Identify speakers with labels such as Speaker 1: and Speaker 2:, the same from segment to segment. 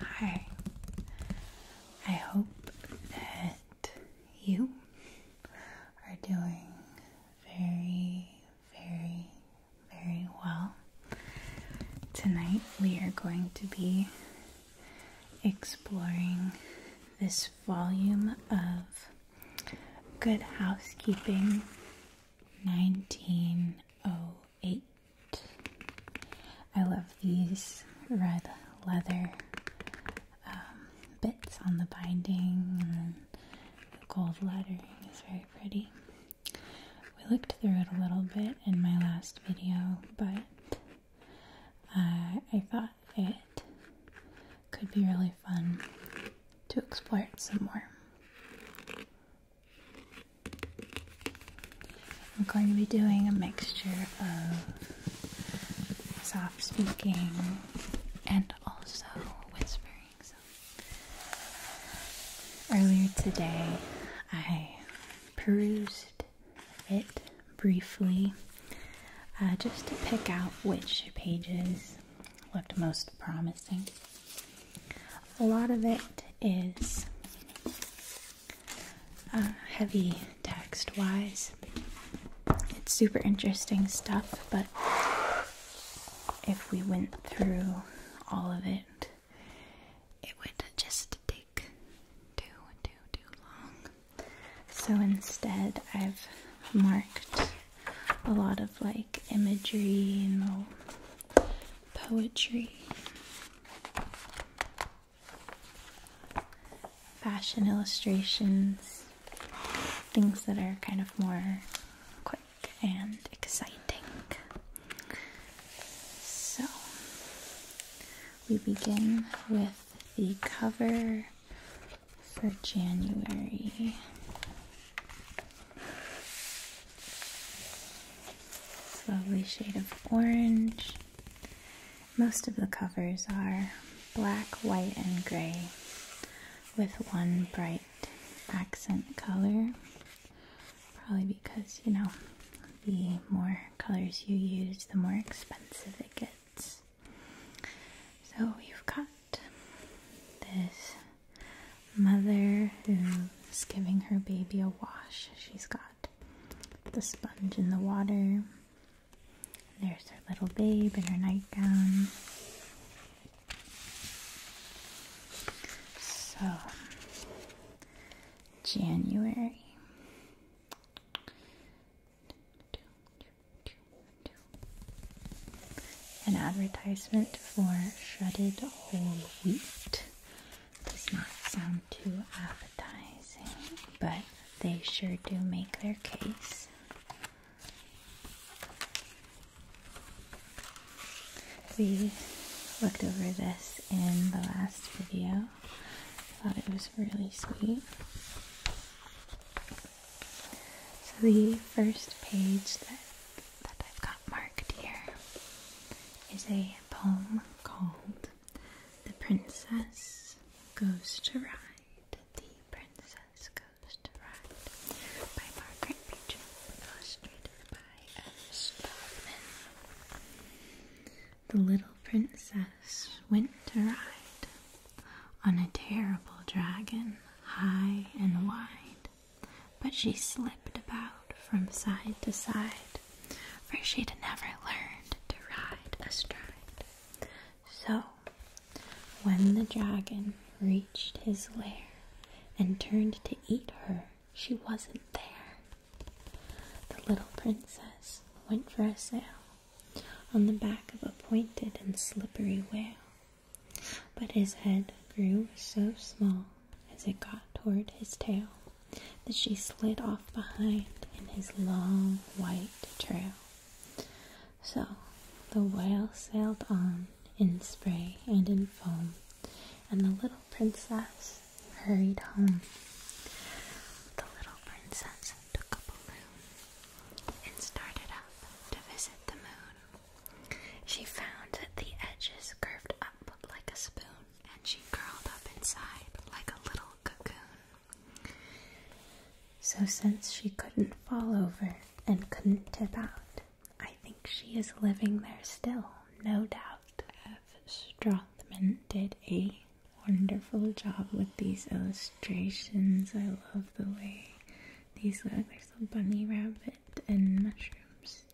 Speaker 1: Hi. I hope that you are doing very, very, very well. Tonight we are going to be exploring this volume of Good Housekeeping 1908. I love these red leather um, bits on the binding, and the gold lettering is very pretty. We looked through it a little bit in my last video, but uh, I thought it could be really fun to explore it some more. I'm going to be doing a mixture of soft speaking and also whispering. earlier today, I perused it briefly uh, just to pick out which pages looked most promising. A lot of it is uh, heavy text wise. It's super interesting stuff, but if we went through all of it, it would just take too, too, too long. So instead, I've marked a lot of like imagery and poetry, fashion illustrations, things that are kind of more quick and exciting. So we begin with the cover for January. Lovely shade of orange. Most of the covers are black, white, and gray with one bright accent color. Probably because, you know, the more colors you use, the more expensive it gets. So you've got this mother who's giving her baby a wash. She's got the sponge in the water. There's her little babe in her nightgown. So, January. An advertisement for shredded whole wheat does not sound too appetizing, but they sure do make their case. We looked over this in the last video. Thought it was really sweet. So the first page that that I've got marked here is a poem called The Princess Goes to Ride. The Princess Goes to Ride by Margaret Beecher, illustrated by S. Dolman. The little princess went to ride on a terrible dragon high and wide. But she slipped about from side to side, for she'd never learned to ride astride. So, when the dragon reached his lair and turned to eat her, she wasn't there. The little princess went for a sail on the back of a pointed and slippery whale, but his head grew so small as it got toward his tail that she slid off behind in his long white trail. So the whale sailed on in spray and in foam, and the little princess hurried home. The little princess took a balloon and started up to visit the moon. She found that the edges curved up like a spoon, and she curled up inside like a little cocoon. So, since she couldn't fall over and couldn't tip out, I think she is living there still, no doubt. F. Strothman did a wonderful job with these illustrations. I love the way these look. There's a bunny rabbit and mushrooms.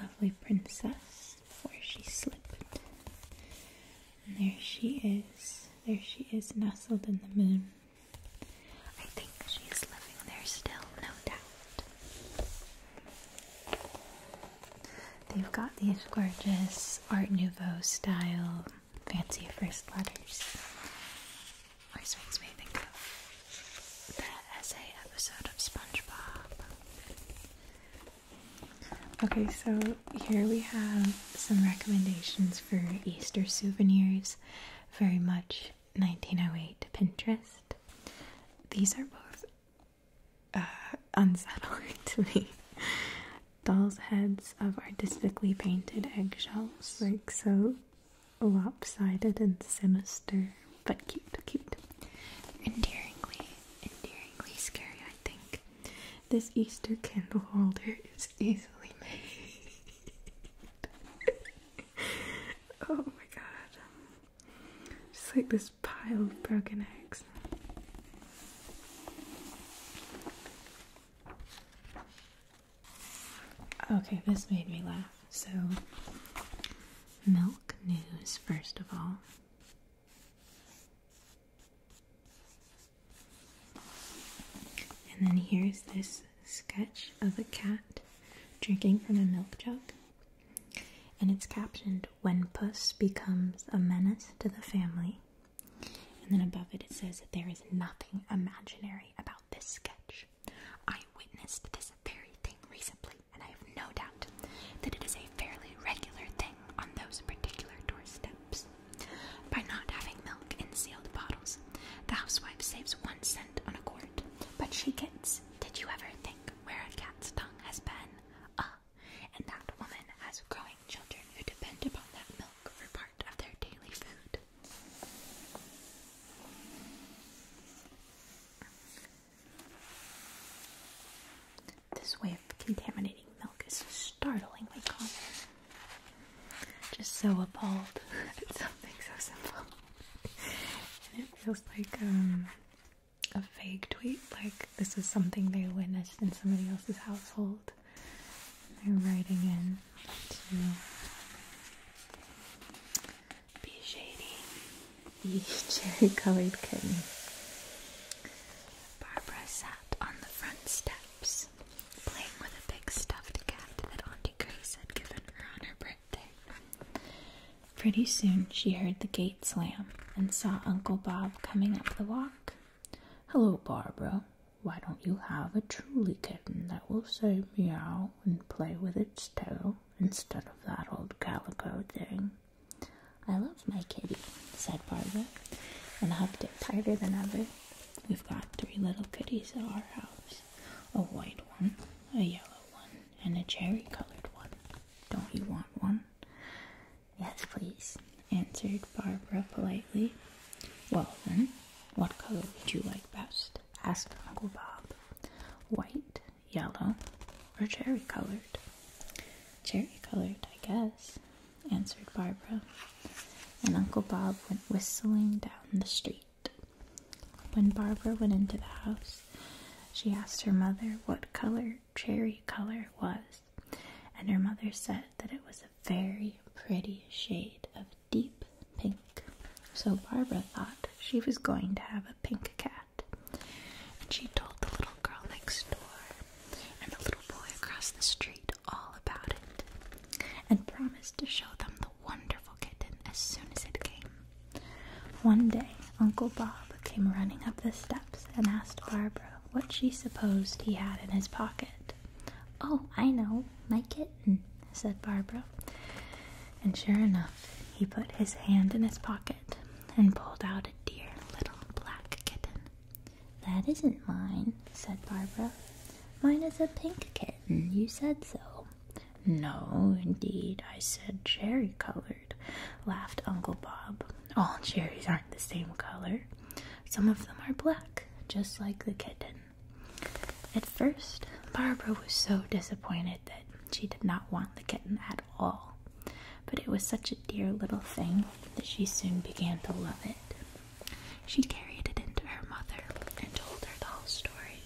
Speaker 1: Lovely princess where she slipped. And there she is. There she is nestled in the moon. I think she's living there still, no doubt. They've got these gorgeous Art Nouveau style fancy first letters. Always makes me think of that essay episode of SpongeBob. Okay, so here we have some recommendations for Easter souvenirs. Very much 1908 Pinterest. These are both uh, unsettling to me dolls' heads of artistically painted eggshells, like so lopsided and sinister, but cute, cute. Endearingly, endearingly scary, I think. This Easter candle holder is easily made. oh my god. Just like this pile of broken eggs. Okay, this made me laugh. So, milk news, first of all. And then here's this sketch of a cat drinking from a milk jug. And it's captioned When Puss Becomes a Menace to the Family and then above it, it says that there is nothing imaginary about this sketch. I witnessed this very thing recently, and I have no doubt that it is a fairly regular thing on those particular doorsteps. By not having milk in sealed bottles, the housewife saves one cent on a quart, but she gets. Did you ever think where a cat's tongue has been? Ah, and that woman has growing children who depend upon that milk for part of their daily food. This way of contaminating milk is startlingly common. Just so appalled at something so simple. and it feels like um, a fake tweet, like this is something they witnessed in somebody else's household. I'm writing in to be shady. the cherry colored kitten. Barbara sat on the front steps, playing with a big stuffed cat that Auntie Grace had given her on her birthday. Pretty soon she heard the gate slam and saw Uncle Bob coming up the walk. Hello, Barbara, why don't you have a truly kitten that will say meow and play with its tail instead of that old calico thing? I love my kitty, said Barbara, and hugged it tighter than ever. We've got three little kitties at our house a white one, a yellow one, and a cherry colored one. Don't you want one? Yes, please, answered Barbara politely. Well, then, what color would you like best? asked Uncle Bob. White, yellow, or cherry colored? Cherry colored, I guess, answered Barbara. And Uncle Bob went whistling down the street. When Barbara went into the house, she asked her mother what color cherry color was, and her mother said that it was a very pretty shade of deep pink. So Barbara thought she was going to have a pink cat. And she told the little girl next door and the little boy across the street all about it and promised to show them the wonderful kitten as soon as it came. One day, Uncle Bob came running up the steps and asked Barbara what she supposed he had in his pocket. Oh, I know, my kitten. Mm-hmm. said Barbara. And sure enough, he put his hand in his pocket and pulled out a dear little black kitten. That isn't mine, said Barbara. Mine is a pink kitten. You said so. No, indeed, I said cherry colored, laughed Uncle Bob. All cherries aren't the same color. Some of them are black, just like the kitten. At first, Barbara was so disappointed that she did not want the kitten at all, but it was such a dear little thing that she soon began to love it. She carried it into her mother and told her the whole story.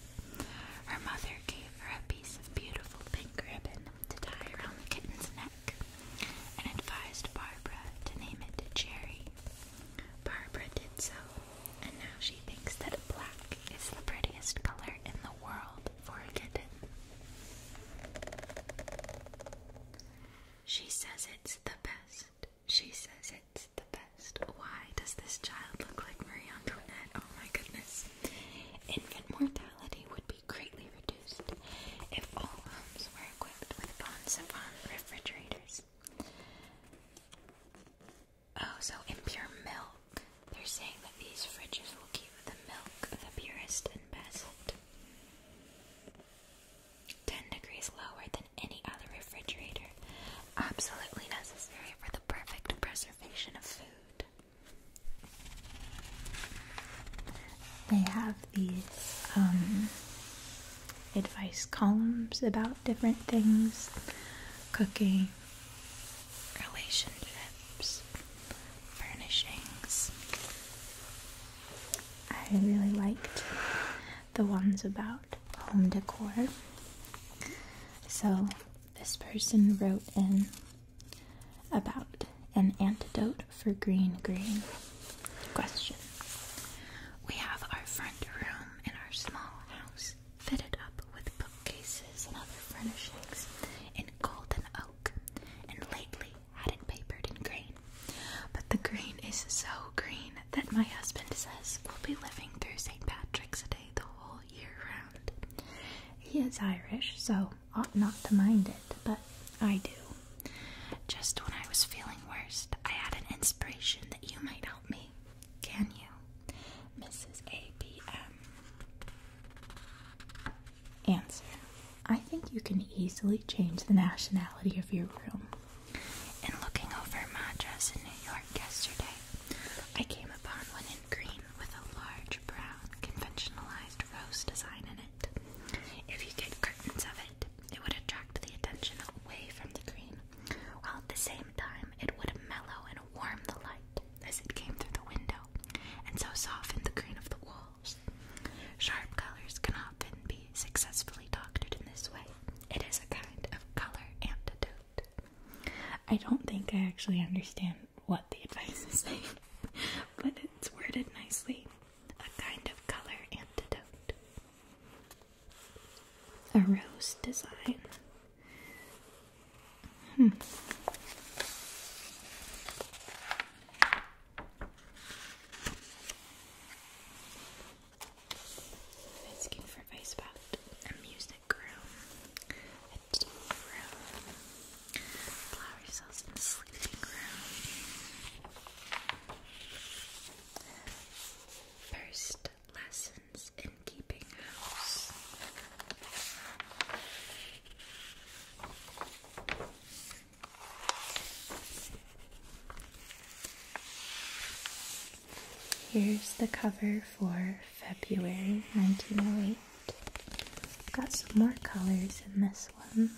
Speaker 1: Her mother gave her a piece of beautiful pink ribbon to tie around the kitten's neck and advised Barbara to name it Jerry. Barbara did so, and now she thinks that black is the prettiest color in the world for a She says it's the best. She says it's the best. Why does this child look like Marie Antoinette? Oh my goodness. Infant would be greatly reduced if all homes were equipped with Bon Savant refrigerators. Oh, so impure milk. They're saying that these fridges will keep the milk the purest and best. 10 degrees lower than any other refrigerator. Absolutely necessary for the perfect preservation of food. They have these um, advice columns about different things cooking, relationships, furnishings. I really liked the ones about home decor. So, this person wrote in about an antidote for green green. Question we have our front room in our small house fitted up with bookcases and other furnishings in golden oak, and lately had it papered in green. But the green is so green that my husband says we'll be living through St. Patrick's Day the whole year round. He is Irish, so ought not to mind it, but I do. Just when I was feeling worst, I had an inspiration that you might help me can you? Mrs. B. M. Answer. I think you can easily change the nationality of your room. In looking over my dress in New York yesterday, I came upon one in green with a large brown conventionalized rose design in it. If you get curtains of it, it would attract the attention away from the green while at the same time it would mellow and warm the light as it came through the window, and so soften the green of the walls. Sharp colors can often be successfully doctored in this way. It is a kind of color antidote. I don't think I actually understand what the advice is saying, but it's worded nicely. A kind of color antidote a rose design. Asking for advice about a music room, a tea room, flower cells in the sleeping room. First lesson Here's the cover for February 1908. Got some more colors in this one.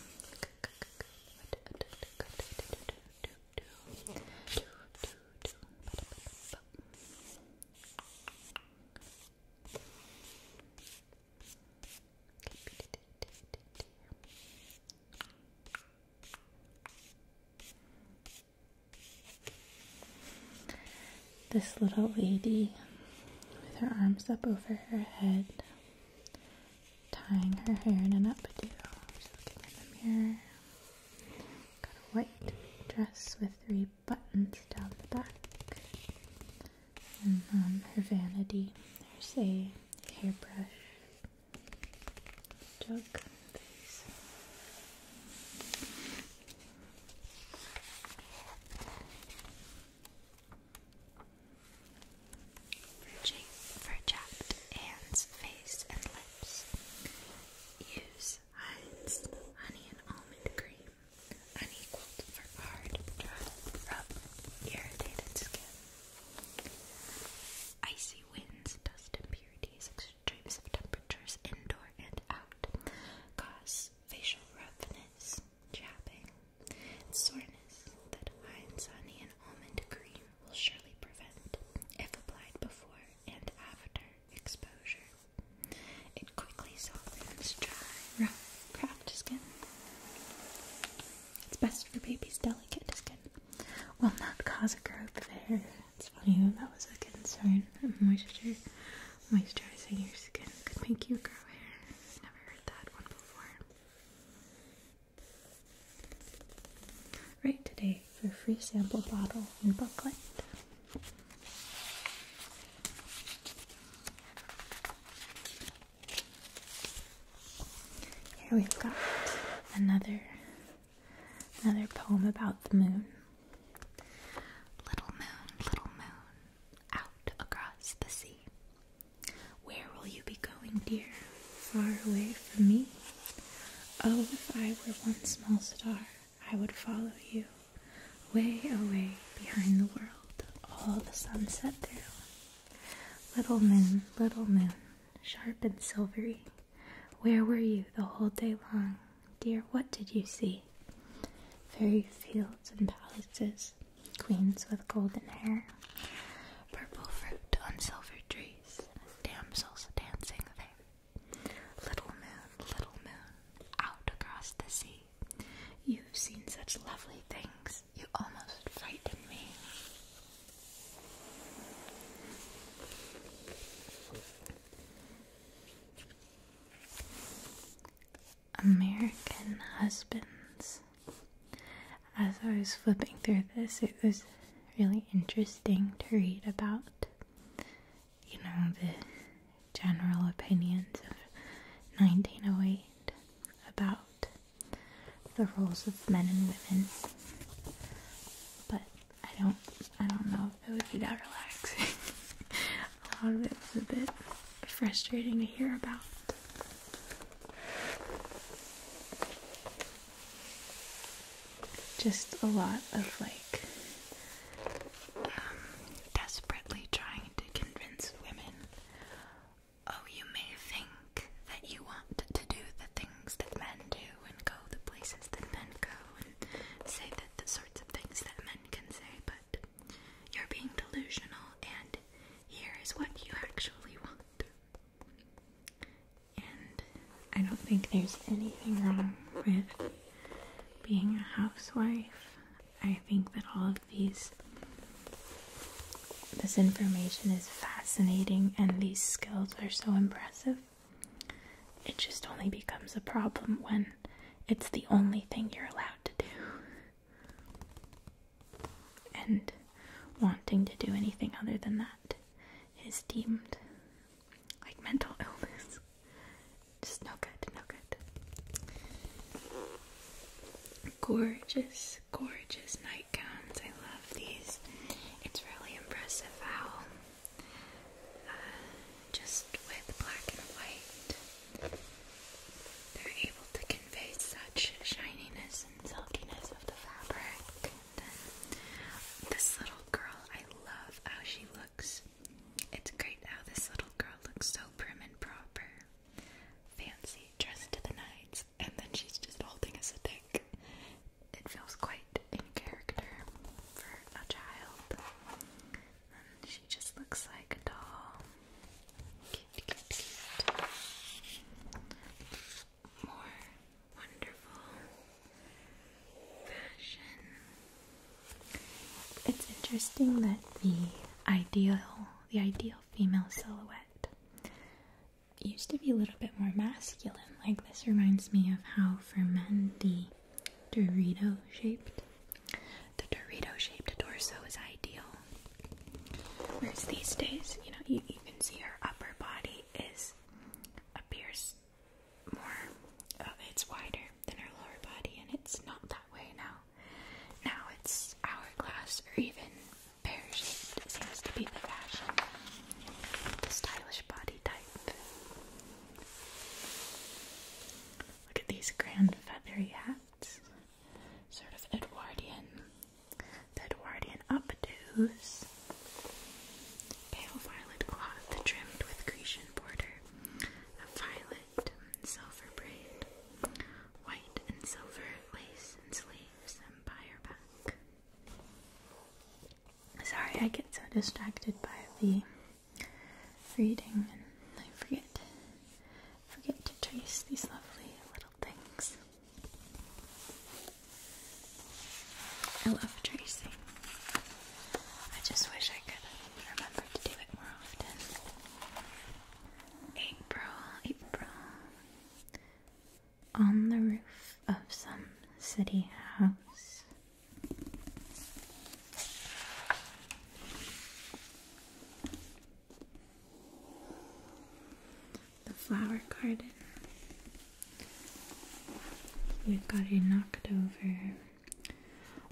Speaker 1: This little lady with her arms up over her head, tying her hair in an updo. She's looking in the mirror. Got a white dress with three buttons down the back. And um, her vanity. There's a hairbrush jug. These. Fur chapped hands, face, and lips. Use Heinz, honey and almond cream, unequaled for hard, dry, rough, irritated skin. Icy winds, dust impurities, extremes of temperatures indoor and out cause facial roughness, chapping, soreness that Heinz honey and almond cream will surely prevent if applied before and after exposure. It quickly softens dry, rough, cracked skin. It's best for babies' delicate skin. Will not cause a growth there. It's funny oh, that was a concern. Moisture, moisturizing your skin could make you grow hair. never heard that one before. Right, today away for free sample bottle in booklet. Here we've got another another poem about the moon. Little moon, little moon, out across the sea. Where will you be going, dear? Far away from me? Oh, if I were one small star I would follow you way away behind the world, all the sunset through. Little moon, little moon, sharp and silvery, where were you the whole day long? Dear, what did you see? Fairy fields and palaces, queens with golden hair, purple fruit on silver trees, damsels dancing there. Little moon, little moon, out across the sea. You've seen such lovely things, you almost frighten me. American husbands. As I was flipping through this, it was really interesting to read about you know, the general opinions of 1908 about the roles of men and women. But I don't, I don't know if it would be that relaxing. a lot of it was a bit frustrating to hear about just a lot of like um, desperately trying to convince women oh, you may think that you want to do the things that men do and go the places that men go and say that the sorts of things that men can say, but you're being delusional and here is what you actually want and I don't think there's anything wrong with being a housewife. I think that all of these this information is fascinating and these skills are so impressive. It just only becomes a problem when it's the only thing you're allowed to do. And wanting to do anything other than that is deemed like mental illness. Just no good, no good. Gorgeous, gorgeous nightgowns. I love these. It's really impressive how uh, just with black and white they're able to convey such shininess and silkiness of the fabric. And then this little girl, I love how she looks. It's great how this little girl looks so prim and proper. Fancy, dressed to the nines, and then she's just holding us a stick. It feels quite in character for a child. she just looks like a doll. More wonderful it's interesting that the ideal, the ideal female silhouette used to be a little bit more masculine. Like this reminds me of how for men the Dorito shaped, the Dorito shaped torso is ideal. Whereas these days, you know, you, can see her upper body is appears more uh, it's wider than our lower body, and it's not that way now. Now it's hourglass or even pear shaped, seems to be the fashion, the stylish body type. Look at these grand feathery hats, sort of Edwardian, Edwardian updos. Pale violet cloth trimmed with Grecian border a violet silver braid, white and silver lace and sleeves and buyer back. Sorry, I get so distracted by the reading and I forget forget to trace these lovely little things. I love tracing. I just wish I could remember to do it more often. April, April. On the roof of some city house. The flower garden. We've got a knocked over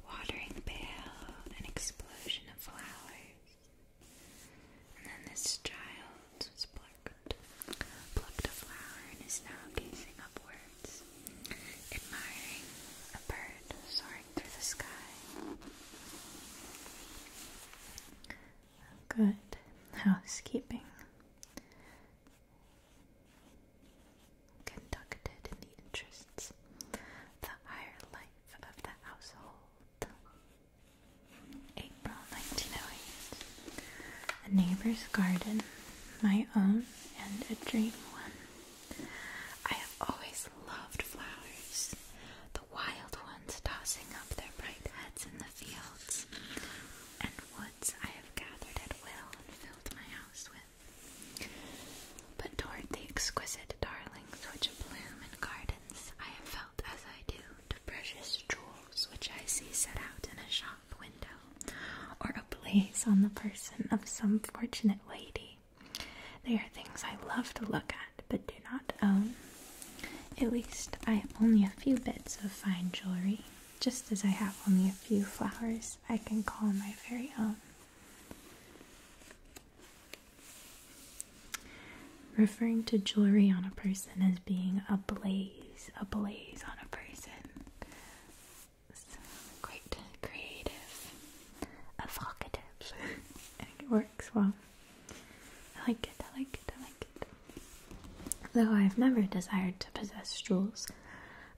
Speaker 1: watering pail, an explosion of flowers. And then this child was plucked, plucked a flower and is now gazing upwards, admiring a bird soaring through the sky. Good housekeeping conducted in the interests, the higher life of the household. April 1908. A neighbor's garden, my own and a dream one. I have always loved flowers, the wild ones tossing up their bright heads in the fields and woods I have gathered at will and filled my house with. But toward the exquisite darlings which bloom in gardens, I have felt as I do the precious jewels which I see set out in a shop window, or ablaze on the person of some fortunate lady. They are things I love to look at, but do not own. At least I have only a few bits of fine jewelry, just as I have only a few flowers I can call my very own. Referring to jewelry on a person as being a blaze, a blaze on a person. quite creative, evocative. I think it works well. I like it, I like it, I like it. Though I've never desired to possess jewels,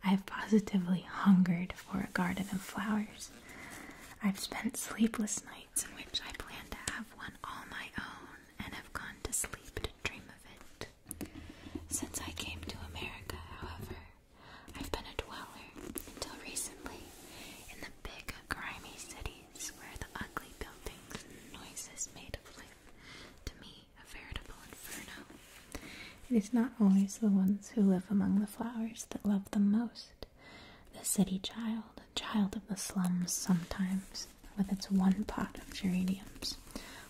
Speaker 1: I've positively hungered for a garden of flowers. I've spent sleepless nights in which I plan to have one all my own and have gone to sleep to dream of it. Since I came to America, however, I've been a dweller until recently in the big, grimy cities where the ugly buildings and noises made of life to me a veritable inferno. It is not always the ones who live among the flowers that love them most. The city child, a child of the slums sometimes, with its one pot of geraniums,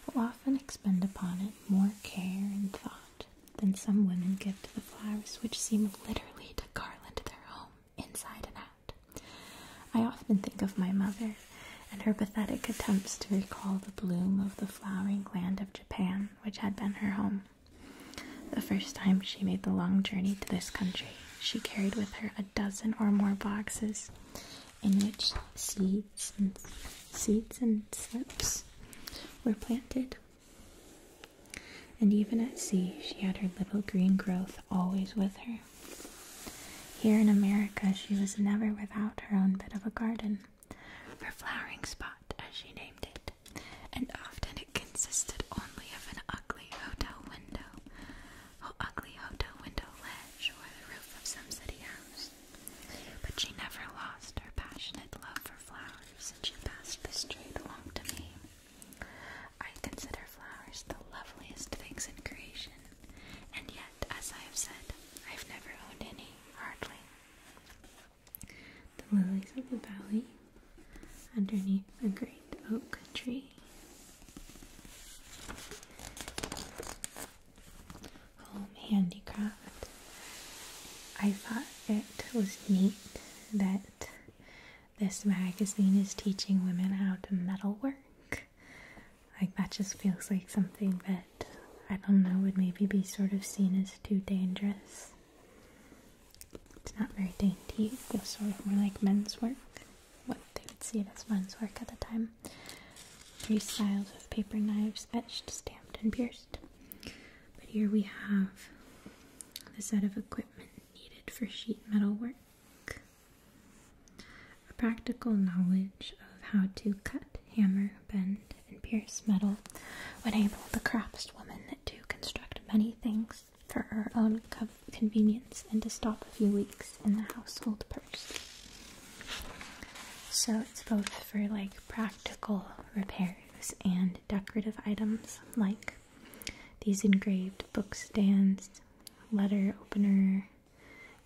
Speaker 1: will often expend upon it more care and thought than some women give to the flowers which seem literally to garland their home inside and out. I often think of my mother and her pathetic attempts to recall the bloom of the flowering land of Japan which had been her home. The first time she made the long journey to this country, she carried with her a dozen or more boxes in which seeds and seeds and slips were planted. And even at sea, she had her little green growth always with her. Here in America, she was never without her own bit of a garden her flowering spot, as she named it, and often it consisted only of an ugly hotel window, or ugly hotel window ledge, or the roof of some city house. But she never lost her passionate love for flowers, and she passed this trait along to me. I consider flowers the loveliest things in creation, and yet, as I have said, I've never owned any, hardly the lilies of the valley underneath a great oak tree. Home handicraft. I thought it was neat that this magazine is teaching women how to metalwork. Like, that just feels like something that I don't know would maybe be sort of seen as too dangerous. It's not very dainty, it feels sort of more like men's work. What they would see as men's work at the time. Three styles of paper knives etched, stamped, and pierced. But here we have the set of equipment needed for sheet metal work. A practical knowledge of how to cut, hammer, bend, and pierce metal would enable the craftswoman to construct many things for her own convenience and to stop a few weeks in the household purse. So it's both for like practical repairs and decorative items like these engraved book stands, letter opener,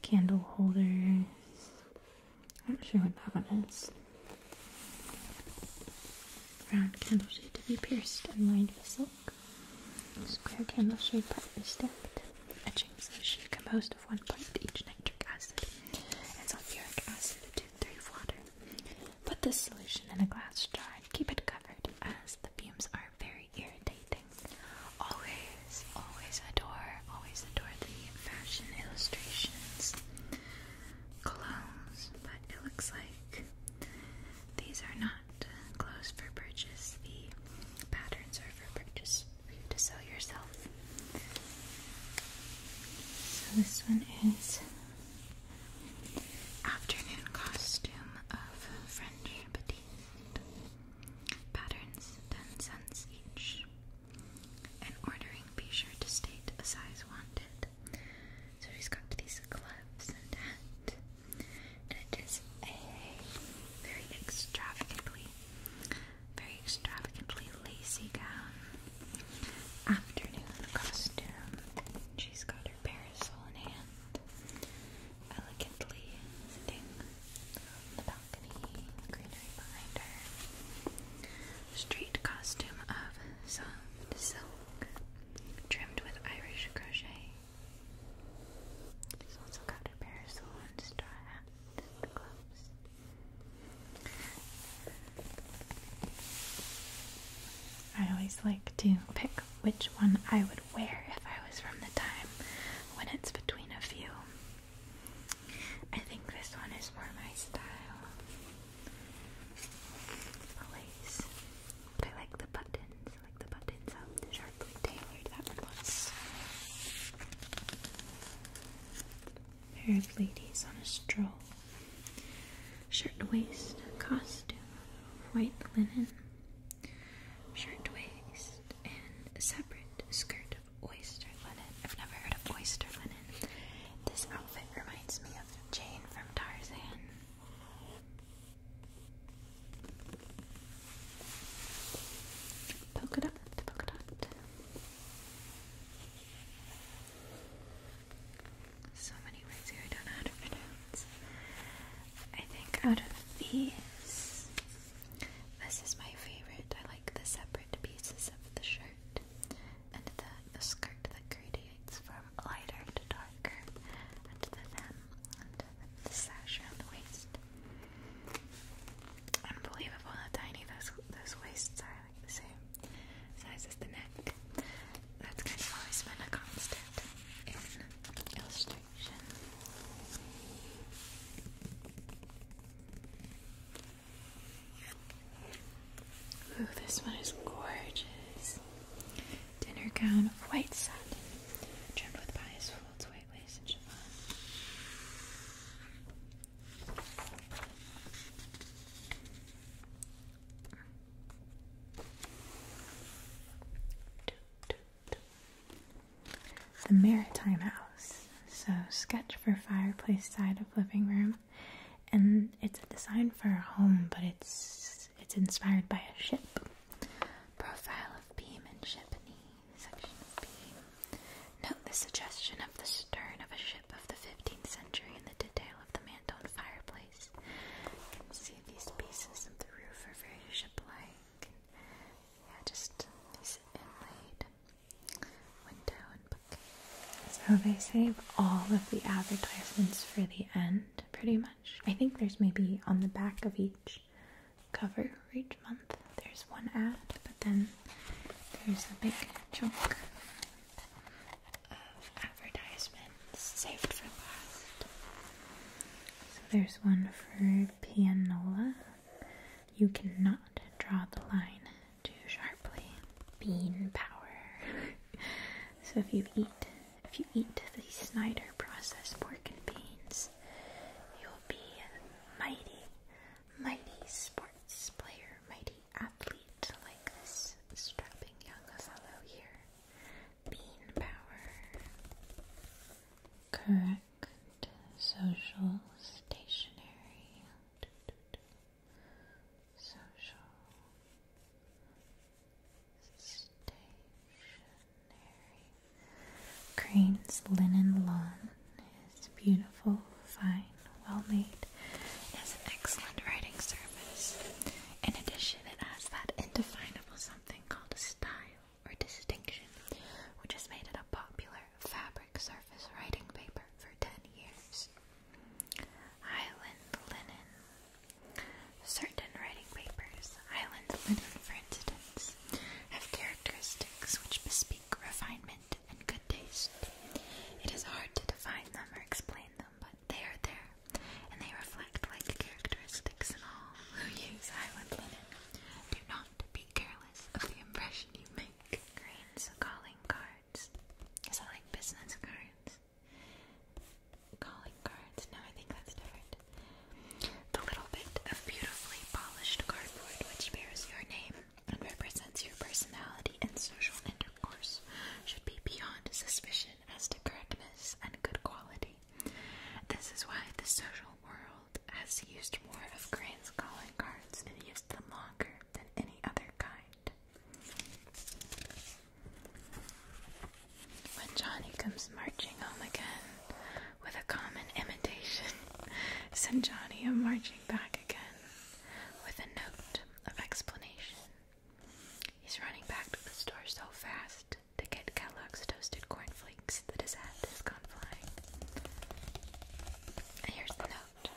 Speaker 1: candle holders, I'm not sure what that one is. Round candle shade to be pierced and lined with silk. Square candle shade partly stacked. Etching solution composed of one part each nitric acid and sulfuric acid to three water. Put this solution in a glass jar and keep it covered as the fumes are very irritating. Always, always adore, always adore the fashion illustrations clones, but it looks like these are not clothes for purchase. The patterns are for purchase for you to sew yourself. So this one is afternoon costume of French petite patterns, ten cents each. And ordering, be sure to state a size wanted. So she's got these gloves and hat. it is a very extravagantly, very extravagantly lacy gown. Afternoon costume. She's got her parasol in hand. Elegantly sitting on the balcony, greenery behind her street costume of soft silk trimmed with Irish crochet. She's parasol and straw hat and I always like to pick which one I would wear if I was from the time when it's between a few. I think this one is more my style. lace. I like the buttons. like the buttons up sharply tailored. That one Pair of ladies on a stroll. Shirt costume. White linen. Shirt and separate skirt of oyster linen. I've never heard of oyster linen. This outfit reminds me of Jane from Tarzan. Polka dot, polka dot. So many words here I don't know how to I think out of these, this is my favorite. I like the separate pieces of the shirt and the, the skirt that gradiates from lighter to darker, and the hem, and the sash around the waist. Unbelievable how tiny those those waists are, like the same size as the neck. That's kind of always been a constant in illustration. Ooh, this one is gorgeous. Dinner gown, of white satin, trimmed with bias folds, white lace, and chiffon. The Maritime House. So, sketch for fireplace side of living room and it's a design for a home, but it's it's inspired by a ship. Profile of beam and ship section of Note the suggestion of the stern of a ship of the 15th century and the detail of the Manton fireplace. can see these pieces of the roof are very ship-like. Yeah, just these inlaid. So they save all of the advertisements for the end, pretty much. I think there's maybe on the back of each cover for each month, there's one ad, but then there's a big chunk of advertisements saved for last. So there's one for Pianola. You cannot draw the line too sharply. Bean power. so if you eat if you eat the Snyder processed pork and beans, you will be a mighty, mighty sports player, mighty athlete like this strapping young fellow here. Bean power. Correct social stationery social stationery. Crane's linen lawn is beautiful, fine, well made. It has an excellent writing surface. In addition, it has that indefinable something called style or distinction, which has made it a popular fabric surface writing paper for 10 years. Island linen. Certain writing papers, island linen for instance, have characteristics which bespeak refinement and good taste. It is hard to define them or explain them, but they are there, and they reflect like characteristics in all who use island linen. Do not be careless of the impression you make. Green Sakaling car. Is that like business cards? Calling cards? No, I think that's different. The little bit of beautifully polished cardboard which bears your name and represents your personality and social intercourse should be beyond suspicion as to correctness and good quality. This is why the social world has used more of Crane's calling cards and used them longer than any other kind. When Johnny comes marching home again with a common imitation, send Johnny a marching back again with a note of explanation. He's running back to the store so fast to get Kellogg's toasted cornflakes that his hat has gone flying. here's the note.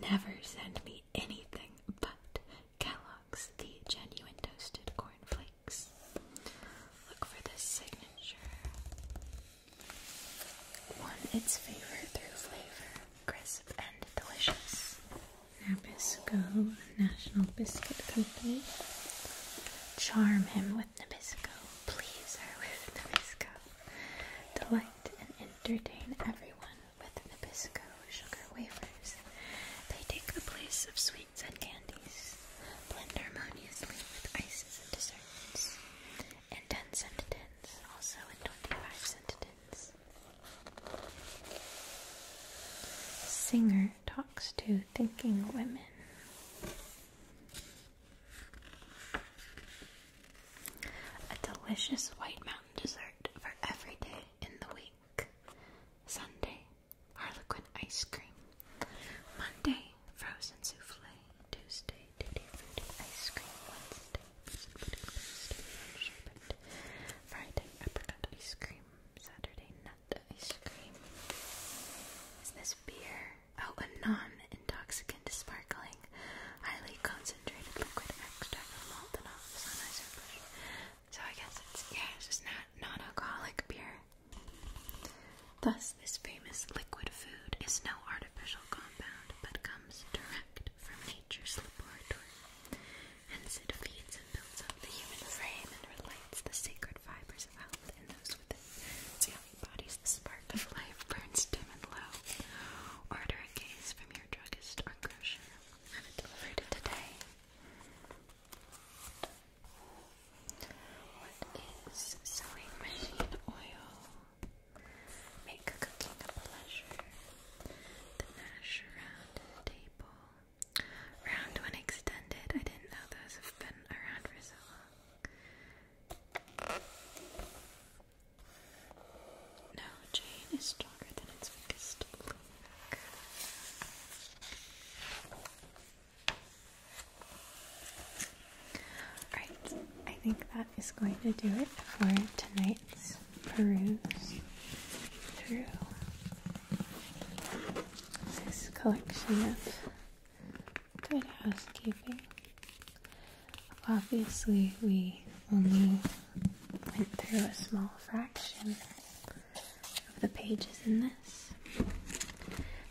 Speaker 1: Never send me anything but Kellogg's The Genuine Toasted Corn Flakes. Look for this signature. One, its favorite through flavor, crisp and delicious. Nabisco, National Biscuit Company. Charm him with Nabisco. Please her with Nabisco. Delight and entertain everyone with Nabisco sugar wafers. They take the place of sweets and candies, blend harmoniously with ices and desserts. and 10 cent tins, also in 25 sentences. Singer talks to thinking women. A delicious White Mountain dessert for every day in the week. Sunday, Harlequin ice cream. Monday, frozen souffle. Tuesday, tutti frutti ice cream. Wednesday, frozen fruity pastry and sherbet. Friday, apricot ice cream. Saturday, nut ice cream. Is this beer? Oh, a non-intoxicant sparkling highly concentrated liquid extract of malt and olive on isopropyl. So I guess it's yeah, just not non-alcoholic beer. Thus, this famous liquid food is no artificial compound, but comes direct from nature's laboratory. Hence, it feeds and builds up the human frame and relights the sacred fibers of health and those within. It's young bodies, the spark of life burns dim and low. Order a case from or druggist Have it delivered today. What is sewing machine oil? Make cooking a pleasure. The mash round table. Round when extended. I didn't know those have been around for so long. No, Jane is stronger than its weakest link. Alright, I think that is going to do it for tonight's peruse through this collection of good housekeeping. Obviously, we only went through a small fraction of the pages in this.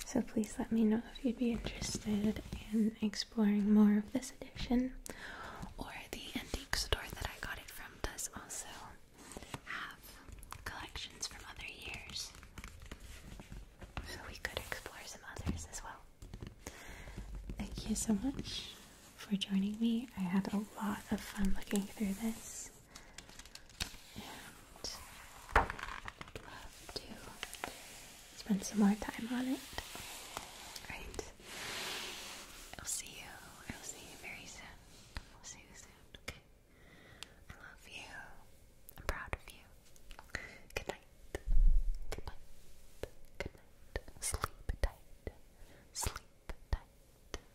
Speaker 1: So please let me know if you'd be interested in exploring more of this edition. Or the antique store that I got it from does also have collections from other years. So we could explore some others as well. Thank you so much for joining me. I had a lot of fun looking through this. And I'd love to spend some more time on it. Alright. I'll see you. I'll see you very soon. I'll see you soon. Okay. I love you. I'm proud of you. Good night. Good night. Good night. Sleep tight. Sleep tight.